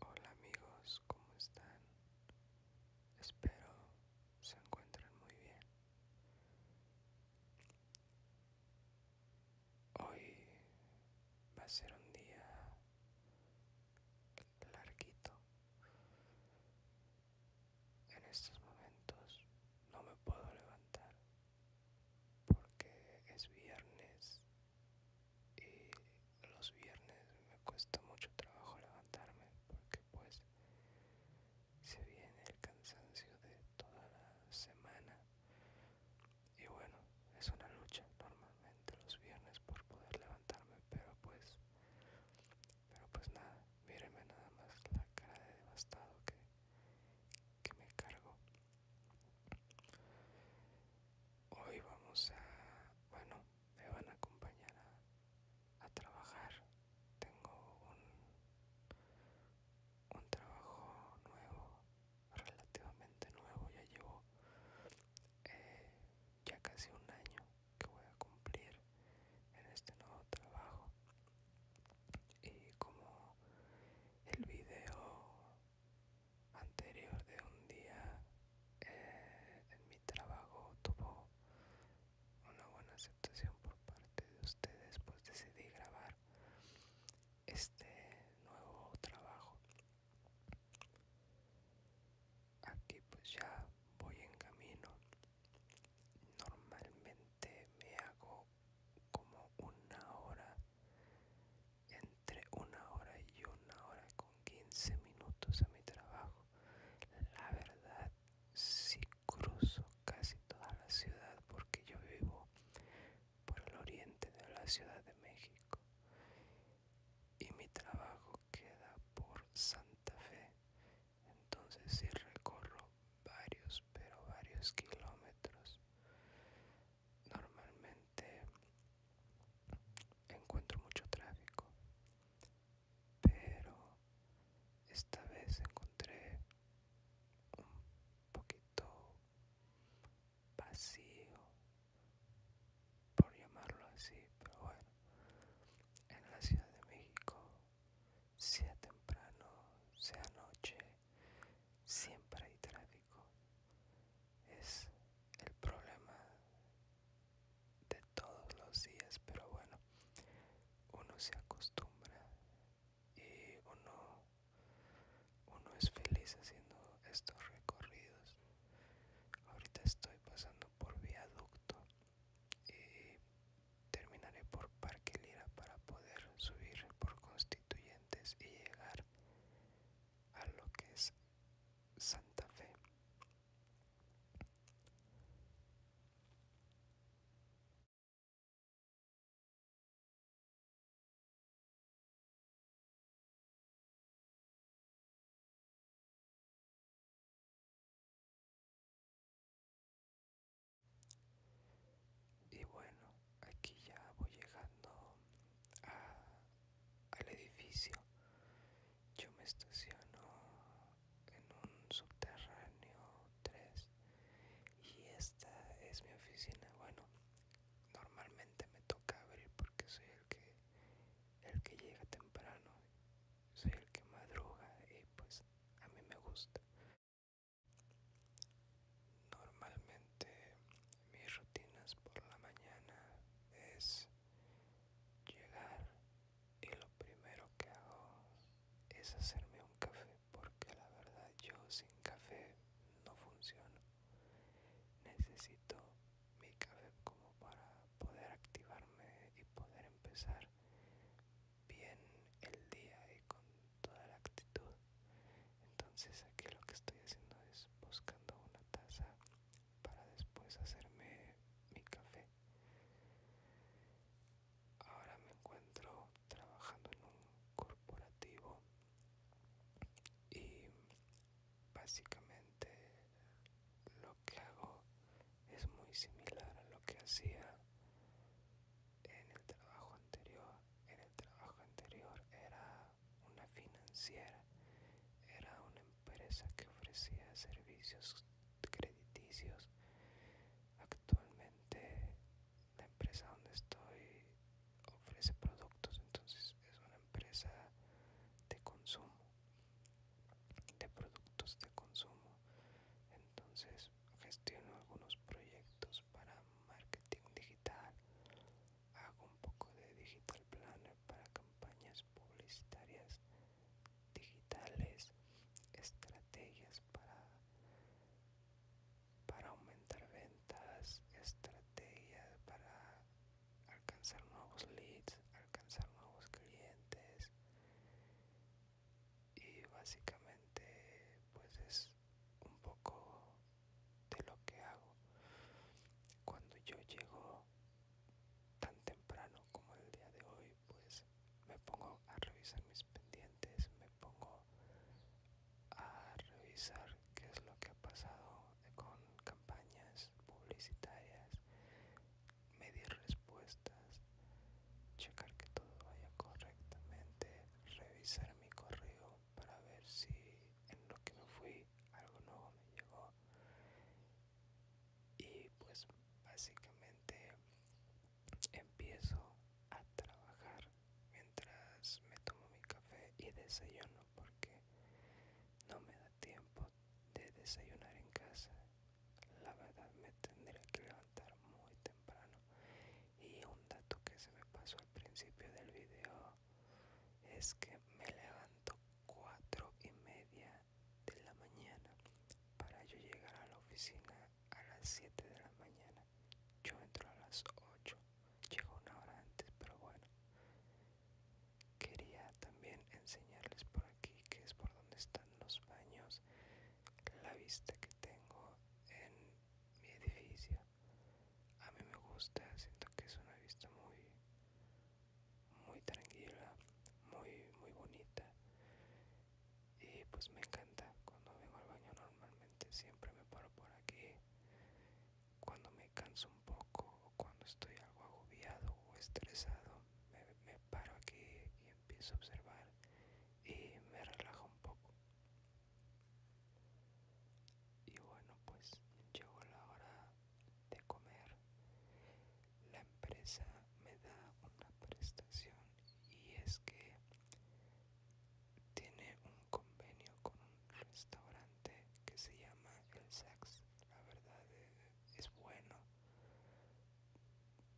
Hola amigos, ¿cómo están? Espero se encuentren muy bien. Hoy va a ser un día larguito en estos momentos no me puedo levantar porque es viernes y los viernes me cuesta mucho trabajo levantarme porque pues se viene el cansancio de toda la semana y bueno es una lucha normalmente los viernes por poder levantarme pero pues pero pues nada, mírenme nada más la cara de devastado que, me cargo. Hoy vamos a, bueno, me van a acompañar a, trabajar. Tengo un, un trabajo nuevo, relativamente nuevo, ya llevo eh, ya casi un año que voy a cumplir en este nuevo trabajo y como el video anterior de un día eh, en mi trabajo tuvo una buena aceptación por parte de ustedes pues decidí grabar este nuevo trabajo aquí pues ya voy en camino normalmente me hago como una hora entre una hora y una hora con 15 minutos a mi trabajo la verdad si sí cruzo casi toda la ciudad porque yo vivo por el oriente de la ciudad de méxico y mi trabajo queda por santa fe entonces si recorro varios pero varios kilómetros normalmente encuentro mucho tráfico pero esta vez encontré un poquito vacío por llamarlo así pero bueno en la ciudad de méxico sea temprano, sea noche, siempre hay tráfico. Es el problema de todos los días, pero bueno, uno se acostumbra y uno, uno es feliz haciendo estos recorridos. Ahorita estoy pasando por viaducto y eh, terminaré por Parque Lira para poder subir por Constituyentes y llegar a lo que es Santa Fe. Y bueno, aquí ya voy llegando al edificio. Yo me estaciono en un subterráneo 3 y esta es mi oficina. Bueno, normalmente me toca abrir porque soy el que el que llega temprano, soy el que madruga y pues a mí me gusta. Normalmente mis rutinas por la mañana es llegar y lo primero que hago es hacerme un café porque la verdad yo sin café no funciono. Necesito mi café como para poder activarme y poder empezar bien el día y con toda la actitud entonces aquí lo que estoy haciendo es buscando una taza para después hacerme mi café ahora me encuentro trabajando en un corporativo y básicamente lo que hago es muy similar a lo que hacía en el trabajo anterior. En el trabajo anterior era una financiera, era una empresa que ofrecía servicios crediticios. Actualmente la empresa donde estoy ofrece productos, entonces es una empresa de consumo de productos de consumo entonces gestiono algunos proyectos para marketing digital hago un poco de digital planner para campañas publicitarias digitales estrategias para para aumentar ventas estrategias para alcanzar nuevos leads alcanzar nuevos clientes y básicamente pues es un poco de lo que hago cuando yo llego tan temprano como el día de hoy pues me pongo a revisar mis pendientes me pongo a revisar qué es lo que ha pasado con campañas publicitarias medir respuestas, checar que todo vaya correctamente, revisar mi correo para ver si en lo que me fui algo nuevo me llegó y pues básicamente empiezo a trabajar mientras me tomo mi café y desayuno porque no me da tiempo de desayunar en casa la verdad me tendría que levantar muy temprano. Y un dato que se me pasó al principio del video es que me levanto 4 y media de la mañana para yo llegar a la oficina a las 7 de la mañana. Yo entro a las 8, llego una hora antes, pero bueno. Quería también enseñarles por aquí que es por donde está los baños, la vista que tengo en mi edificio. A mí me gusta, siento que es una vista muy muy tranquila, muy muy bonita. Y pues me encanta cuando vengo al baño normalmente siempre me paro por aquí. Cuando me canso un poco o cuando estoy algo agobiado o estresado me, paro aquí y empiezo a observar y me relajo un poco. Y bueno, pues llegó la hora de comer. La empresa me da una prestación y es que tiene un convenio con un restaurante que se llama El Sax la verdad eh, es, bueno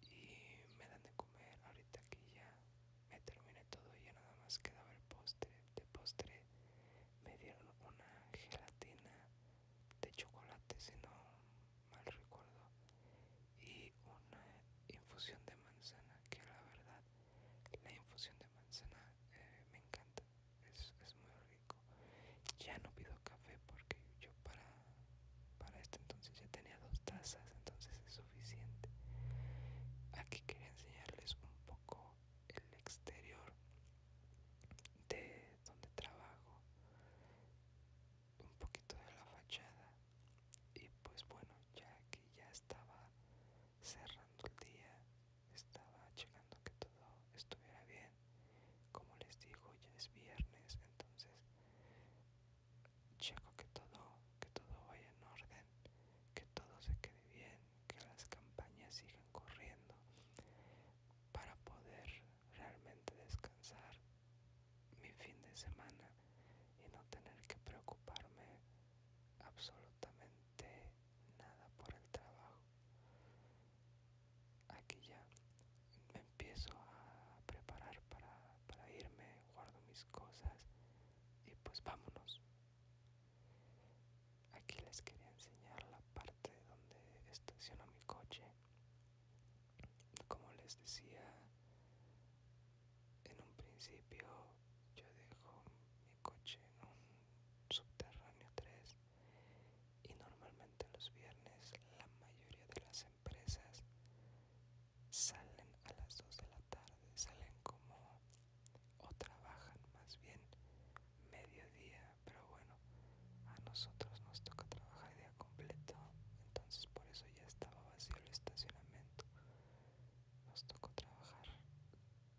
y me dan de comer ahorita que ya me terminé todo y ya nada más quedaba el postre de postre me dieron una gelatina de chocolate si no mal recuerdo y una infusión de manzana que la verdad la infusión de manzana eh, me encanta es, muy horrible ya no pido café porque yo para para este entonces ya tenía dos tazas entonces es suficiente aquí quería enseñarles un poco el exterior de donde trabajo un poquito de la fachada y pues bueno ya que ya estaba cerrando el día estaba checando que todo estuviera bien como les digo ya es viernes entonces checo que todo que todo vaya en orden que todo se quede bien que las campañas sigan corriendo para poder realmente descansar mi fin de semana y no tener que preocuparme absolutamente nada por el trabajo aquí ya me empiezo a preparar para, irme, guardo mis cosas y pues vámonos. Aquí les quería enseñar la parte donde estaciono mi coche. Como les decía en un principio, yo dejo mi coche en un subterráneo 3 y normalmente los viernes la mayoría de las empresas salen a las 2 de la tarde, salen como o trabajan más bien mediodía, pero bueno, a nosotros nos toca trabajar día completo, entonces por eso ya estaba vacío el estacionamiento. Nos tocó trabajar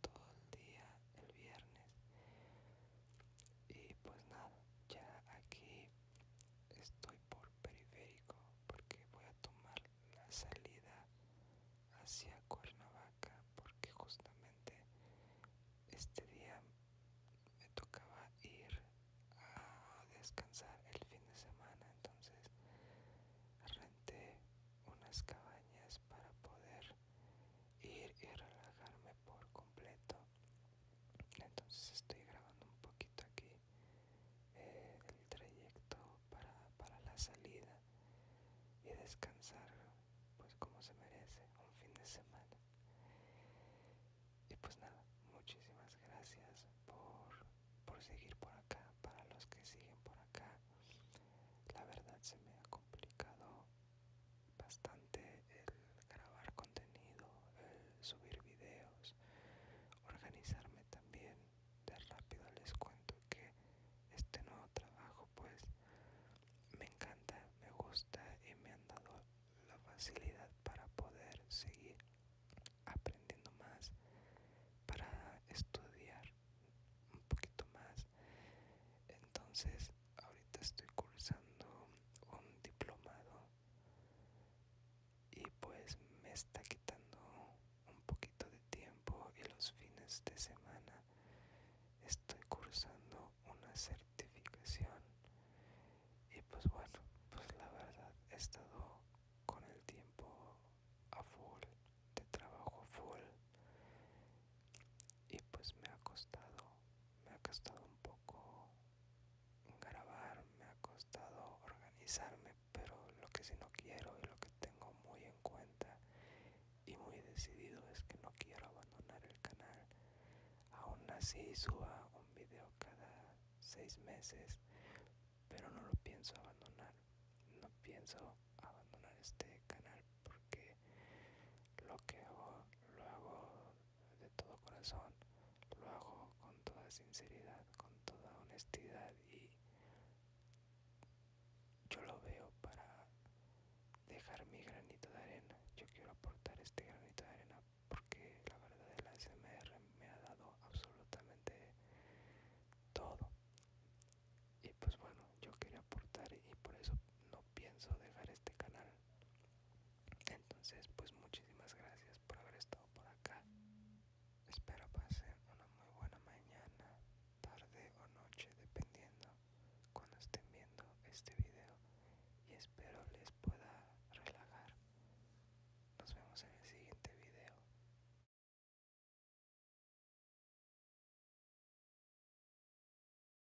todo el día el viernes y pues nada ya aquí estoy por periférico porque voy a tomar la salida hacia Cuernavaca porque justamente este día me tocaba ir a descansar el fin de semana entonces renté unas cabañas para poder ir y relajarme por completo entonces estoy grabando un poquito aquí eh, el trayecto para, para la salida y descansar pues como se merece un fin de semana y pues nada muchísimas gracias por, por seguir por acá para los que siguen por acá la verdad se me ha complicado bastante el grabar contenido, el subir videos, organizarme también. De rápido les cuento que este nuevo trabajo pues me encanta, me gusta y me han dado la facilidad para poder seguir aprendiendo más, para estudiar un poquito más. Entonces ahorita estoy cursando un diplomado y pues me está quitando un poquito de tiempo y los fines de semana estoy cursando una certificación y pues bueno pues la verdad he estado con el tiempo a full de trabajo a full y pues me ha costado me ha costado un poco grabar me ha costado organizarme pero lo que sí no quiero y lo que tengo muy en cuenta y muy decidido es que no quiero abandonar el canal aún así suba un video cada seis meses pero no lo pienso abandonar no pienso abandonar este canal porque lo que hago lo hago de todo corazón, lo hago con toda sinceridad, con toda honestidad y yo lo veo para dejar mi granito de arena. Yo quiero aportar este granito de arena porque la verdad es la SMR me ha dado absolutamente todo. Y pues bueno, yo quería aportar y por eso no pienso dejar este canal entonces, pues muchísimas gracias por haber estado por acá. Espero pasen una muy buena mañana, tarde o noche, dependiendo cuando estén viendo este video. Y espero les pueda relajar. Nos vemos en el siguiente video.